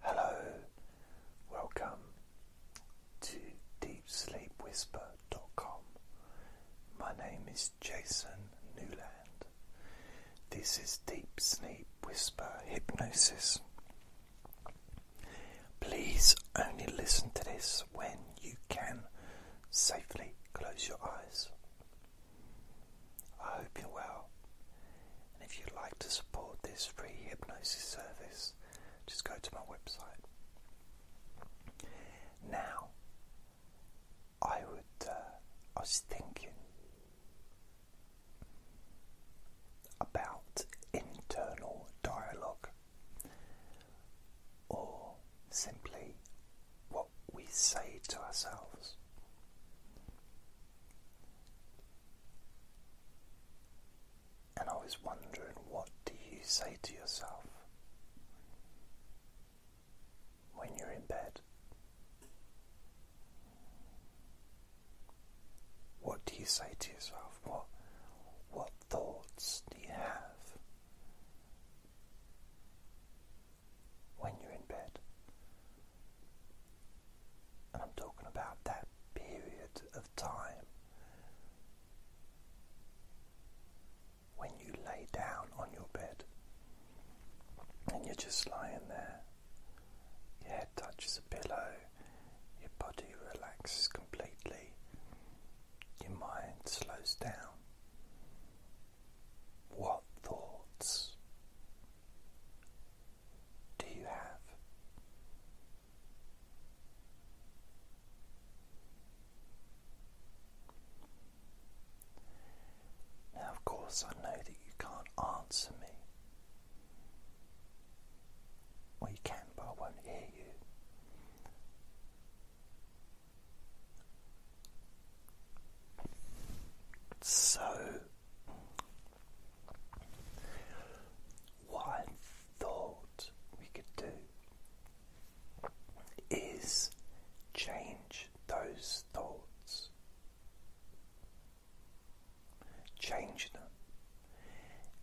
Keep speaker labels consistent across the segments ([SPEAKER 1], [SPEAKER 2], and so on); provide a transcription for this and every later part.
[SPEAKER 1] Hello, welcome to DeepSleepWhisper.com. My name is Jason Newland. This is Deep Sleep Whisper Hypnosis. Please only listen to this when you can safely close your eyes. I hope you're well. And if you'd like to support this free hypnosis service, just go to my website. Now, I would, uh, I was thinking about internal dialogue or simply what we say to ourselves. And I was wondering, what do you say to yourself when you're in bed? What do you say to yourself? What, what thoughts do you have when you're in bed? And I'm talking about that period of time when you lay down on your bed and you're just lying there. Your head touches a pillow, your body relaxes completely, your mind slows down. What thoughts do you have? Now, of course, I know that you can't answer me. Well, you can, but I won't hear you. So, what thought we could do is change those thoughts, change them,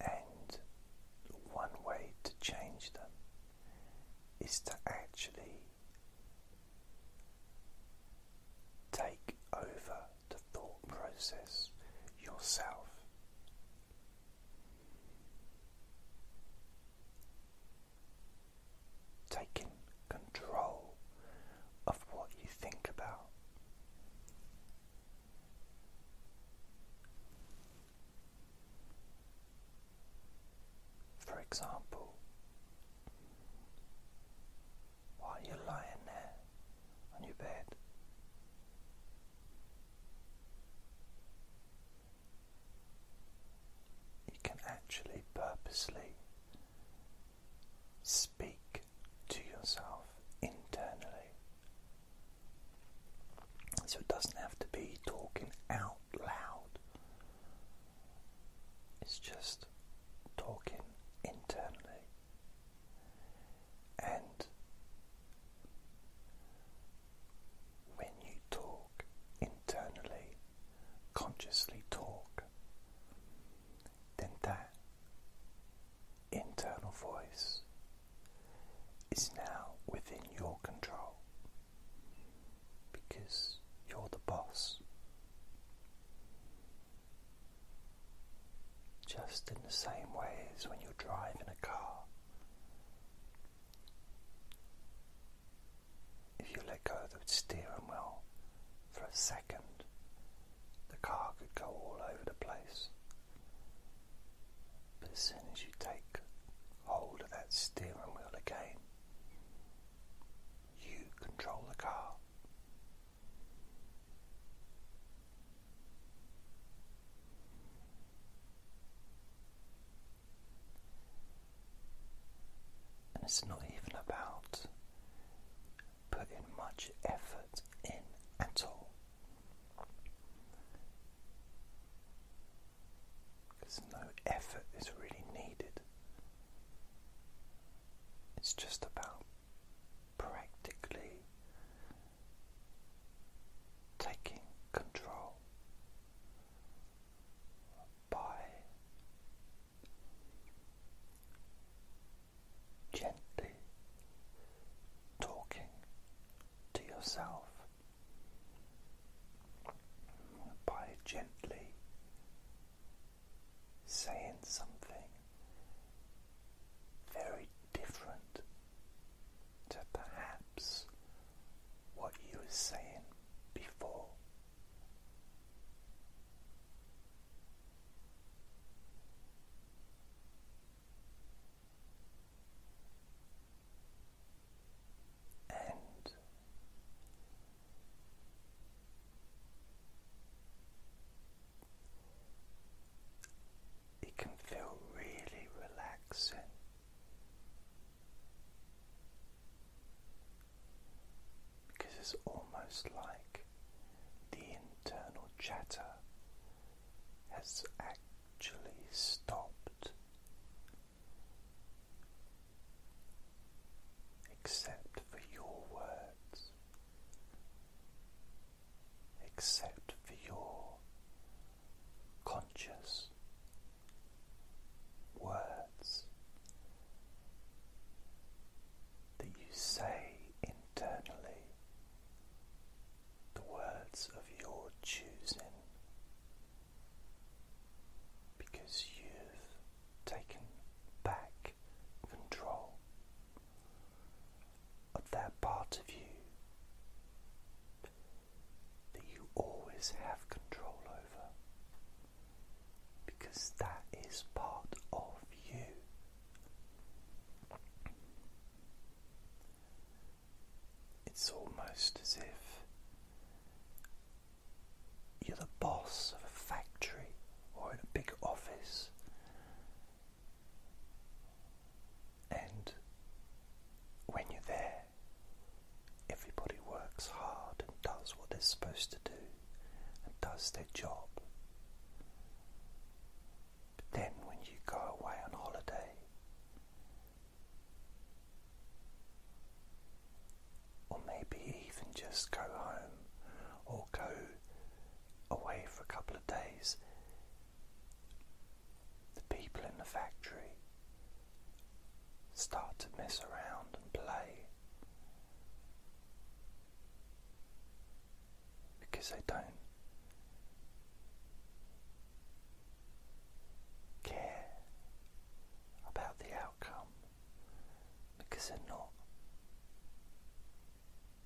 [SPEAKER 1] and one way to change them is to actually take over the thought process yourself. Taking control of what you think about. For example, while you're lying there on your bed. You can actually purposely speak to yourself internally. So it doesn't have to be talking out loud, it's just talking internally. And when you talk internally, consciously talk, then that internal voice is now within your control because you're the boss. Just in the same way as when you're driving a car. If you let go of the steering wheel for a second, the car could go all over the place. But as soon as you take hold of that steering wheel again, you control the car. And it's not even about putting much effort in at all. Because no effort is really needed. It's just about practically taking control by gently talking to yourself by gently saying something very different to perhaps what you were saying before. And it can feel really relaxing. Because it's almost like the internal chatter has actually stopped, except for your words except for your conscious words that you say internally, the words of your choosing, because you've taken back control of that part of you that you always have control over because that is part of you. It's almost as if you're the boss of a factory or in a big office and when you're there, everybody works hard and does what they're supposed to do and does their job. But then when you go away on holiday, or maybe even just go home or go away for a couple of days, the people in the factory start to mess around and play because they don't care about the outcome because they're not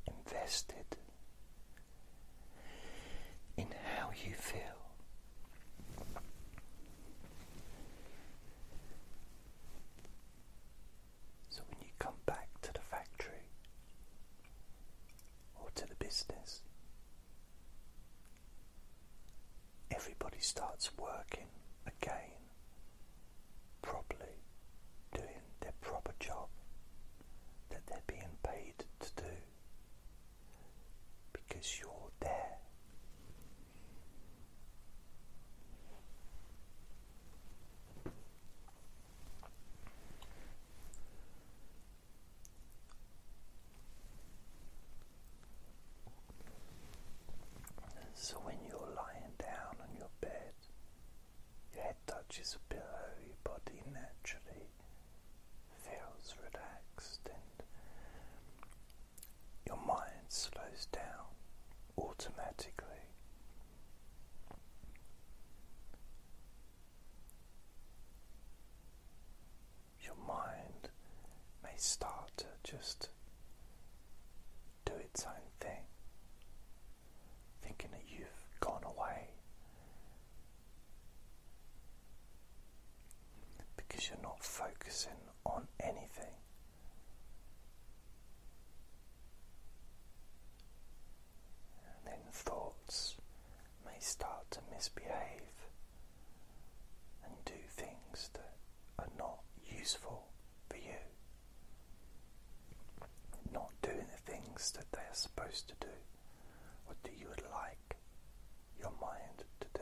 [SPEAKER 1] invested in how you feel. So when you come back to the factory or to the business, everybody starts working again properly doing their proper job that they're being paid to do because you're there. So, when you're lying down on your bed, your head touches a pillow, your body naturally feels relaxed, and your mind slows down automatically. Your mind may start to just do its own thing thinking that you've gone away because you're not focusing on anything. And then thoughts may start to misbehave and do things that are not useful for you not doing the things that they are supposed to do or do you would like your mind to do.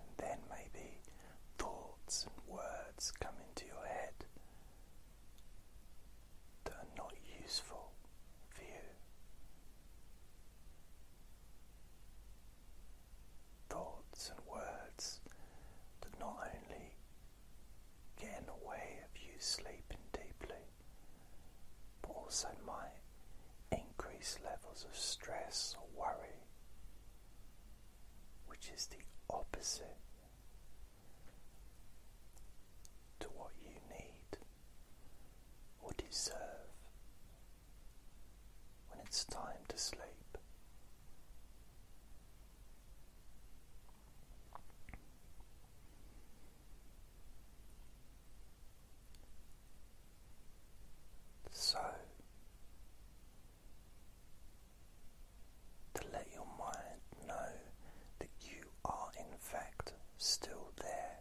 [SPEAKER 1] And then maybe thoughts and words come into your head that are not useful for you thoughts and words that not only get in the way of you sleeping deeply, but also might increase levels of stress or worry, which is the opposite to what you need or deserve when it's time to sleep. So, to let your mind know that you are, in fact, still there,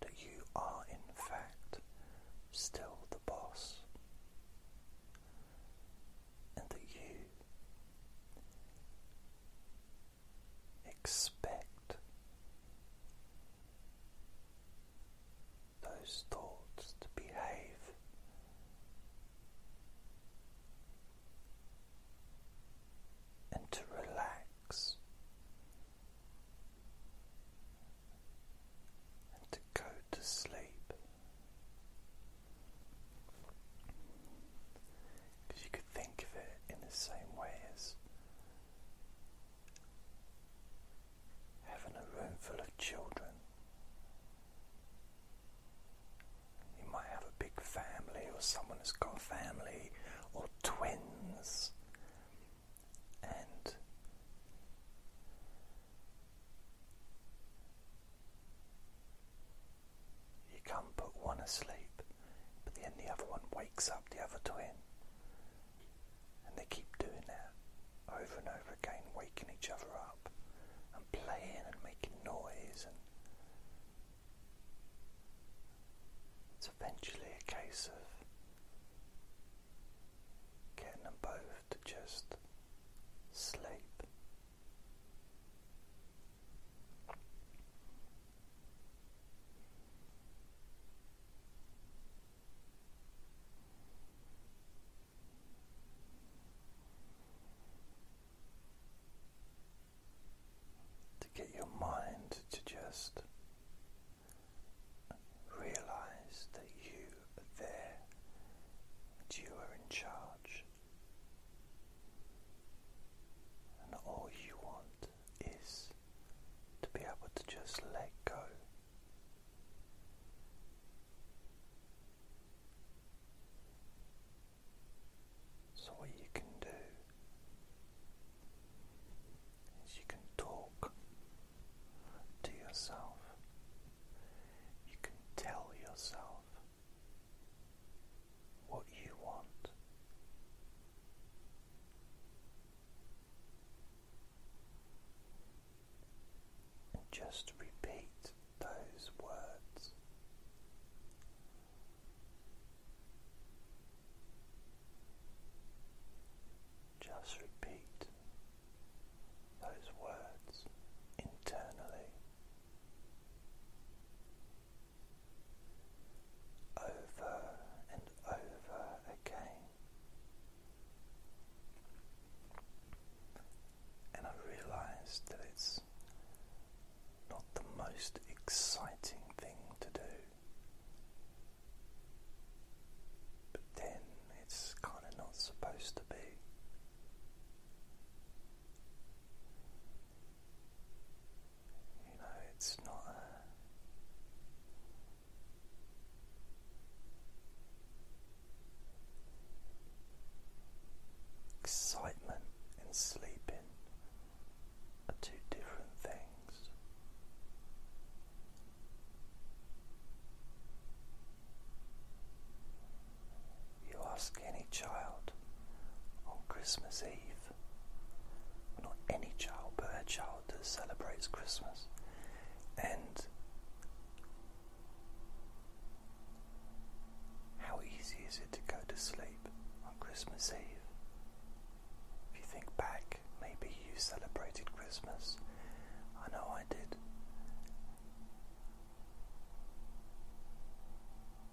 [SPEAKER 1] that you are, in fact, still the boss, and that you expect those thoughts to behave and to relax and to go to sleep. Because you could think of it in the same way as having a room full of children. You might have a big family, or someone has got a family, or twins, and you can't put one asleep, but then the other one wakes up the other twin. And they keep doing that over and over again, waking each other up and playing and making noise and it's eventually a case of getting them both to just sleep to get your mind to just realize that you are there, and you are in charge, and all you want is to be able to just let go. So, what you can do is you can talk to yourself, you can tell yourself what you want. And just repeat those words just repeat those words internally over and over again. And I realized that it's not the most exciting thing to do. But then it's kind of not supposed to be. You know, it's not Excitement in sleeping are two different things. You ask any child on Christmas Eve, not any child, but a child that celebrates Christmas, and how easy is it to go to sleep on Christmas Eve? If you think back, maybe you celebrated Christmas. I know I did.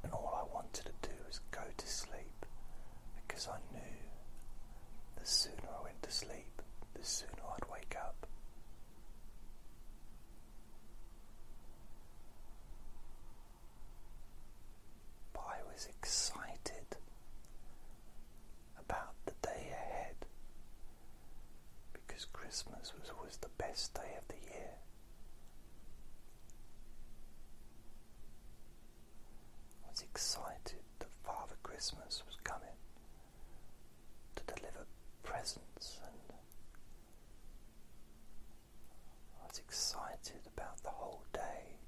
[SPEAKER 1] And all I wanted to do was go to sleep because I knew the sooner I went to sleep, the sooner I'd wake up. But I was excited about the day ahead because Christmas was always the best day of the year. I was excited that Father Christmas was coming to deliver presents and I was excited about the whole day.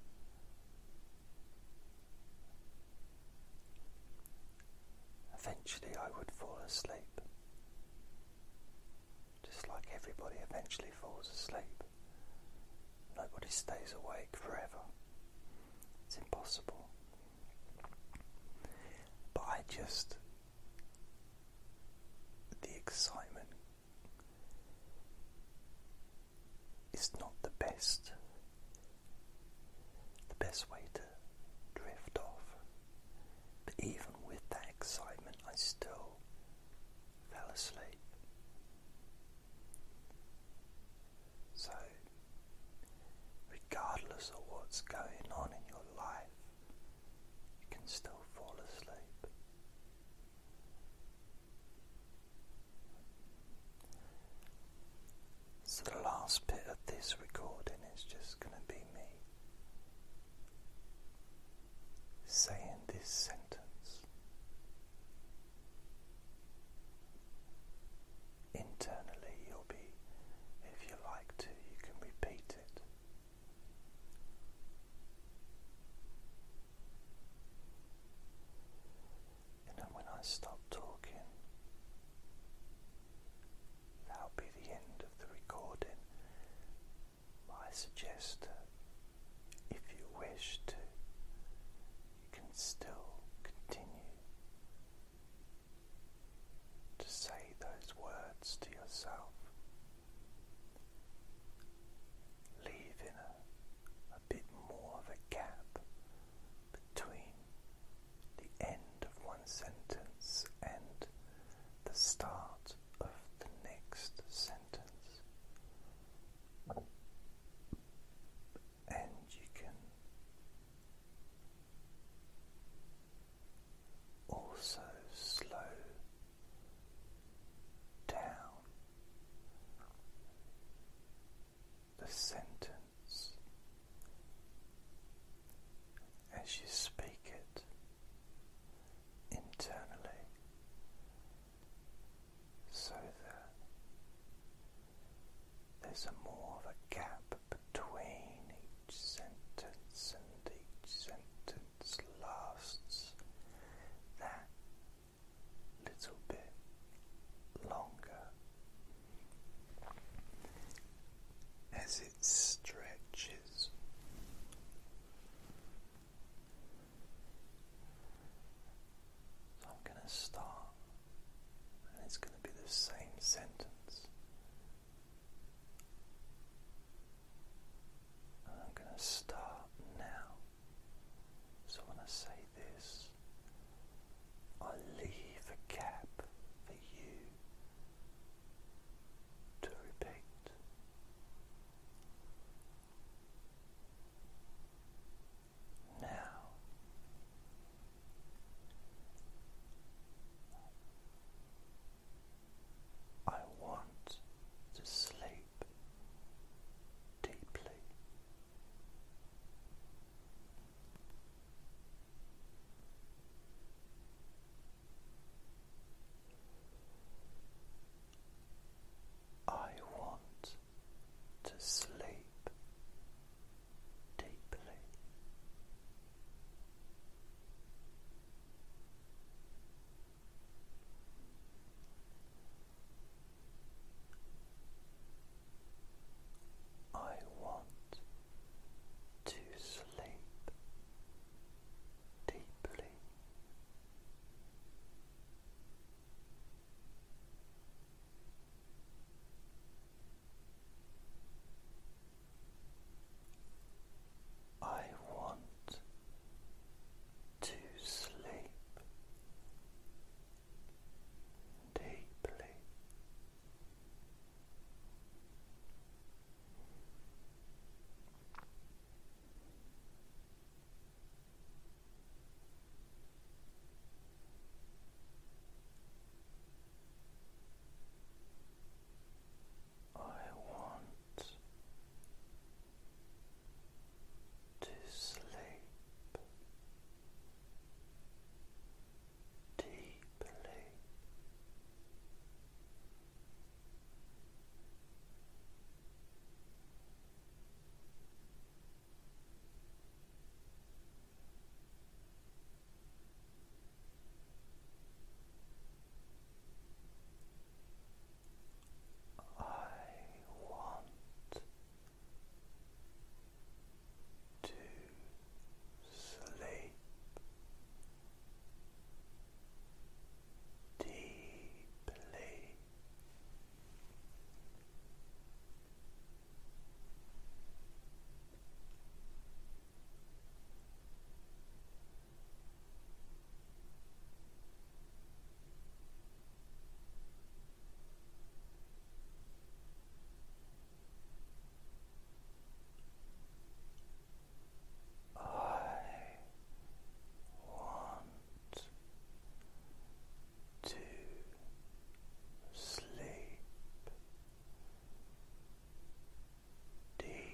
[SPEAKER 1] Eventually, I would fall asleep. Just like everybody eventually falls asleep. Nobody stays awake forever. It's impossible. But I just. The excitement it's not the best the best way to drift off. But even with that excitement I still fell asleep. So regardless of what's going on in your life, you can still fall asleep. So, the last bit of this recording is just going to be me saying this sentence internally. You'll be, if you like to, you can repeat it. And then when I stop talking, that'll be the end of the recording. I suggest if you wish to, you can still continue to say those words to yourself leaving a, a bit more of a gap between the end of one sentence and the start of the next sentence. And you can also slow down the sentence as you speak it internally so that there's a more of a gap between each sentence and each sentence lasts that little bit longer as it stretches. So I'm going to start, and it's going to be the same sentence. I'm going to start now. So when I say this, I leave a gap for you to repeat. Now, I want to sleep deeply. I want to sleep deeply. I want to sleep deeply. I want to sleep deeply. I want to sleep deeply. I want to sleep deeply. I want to sleep deeply.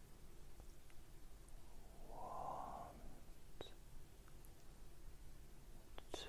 [SPEAKER 1] want to sleep. Deeply.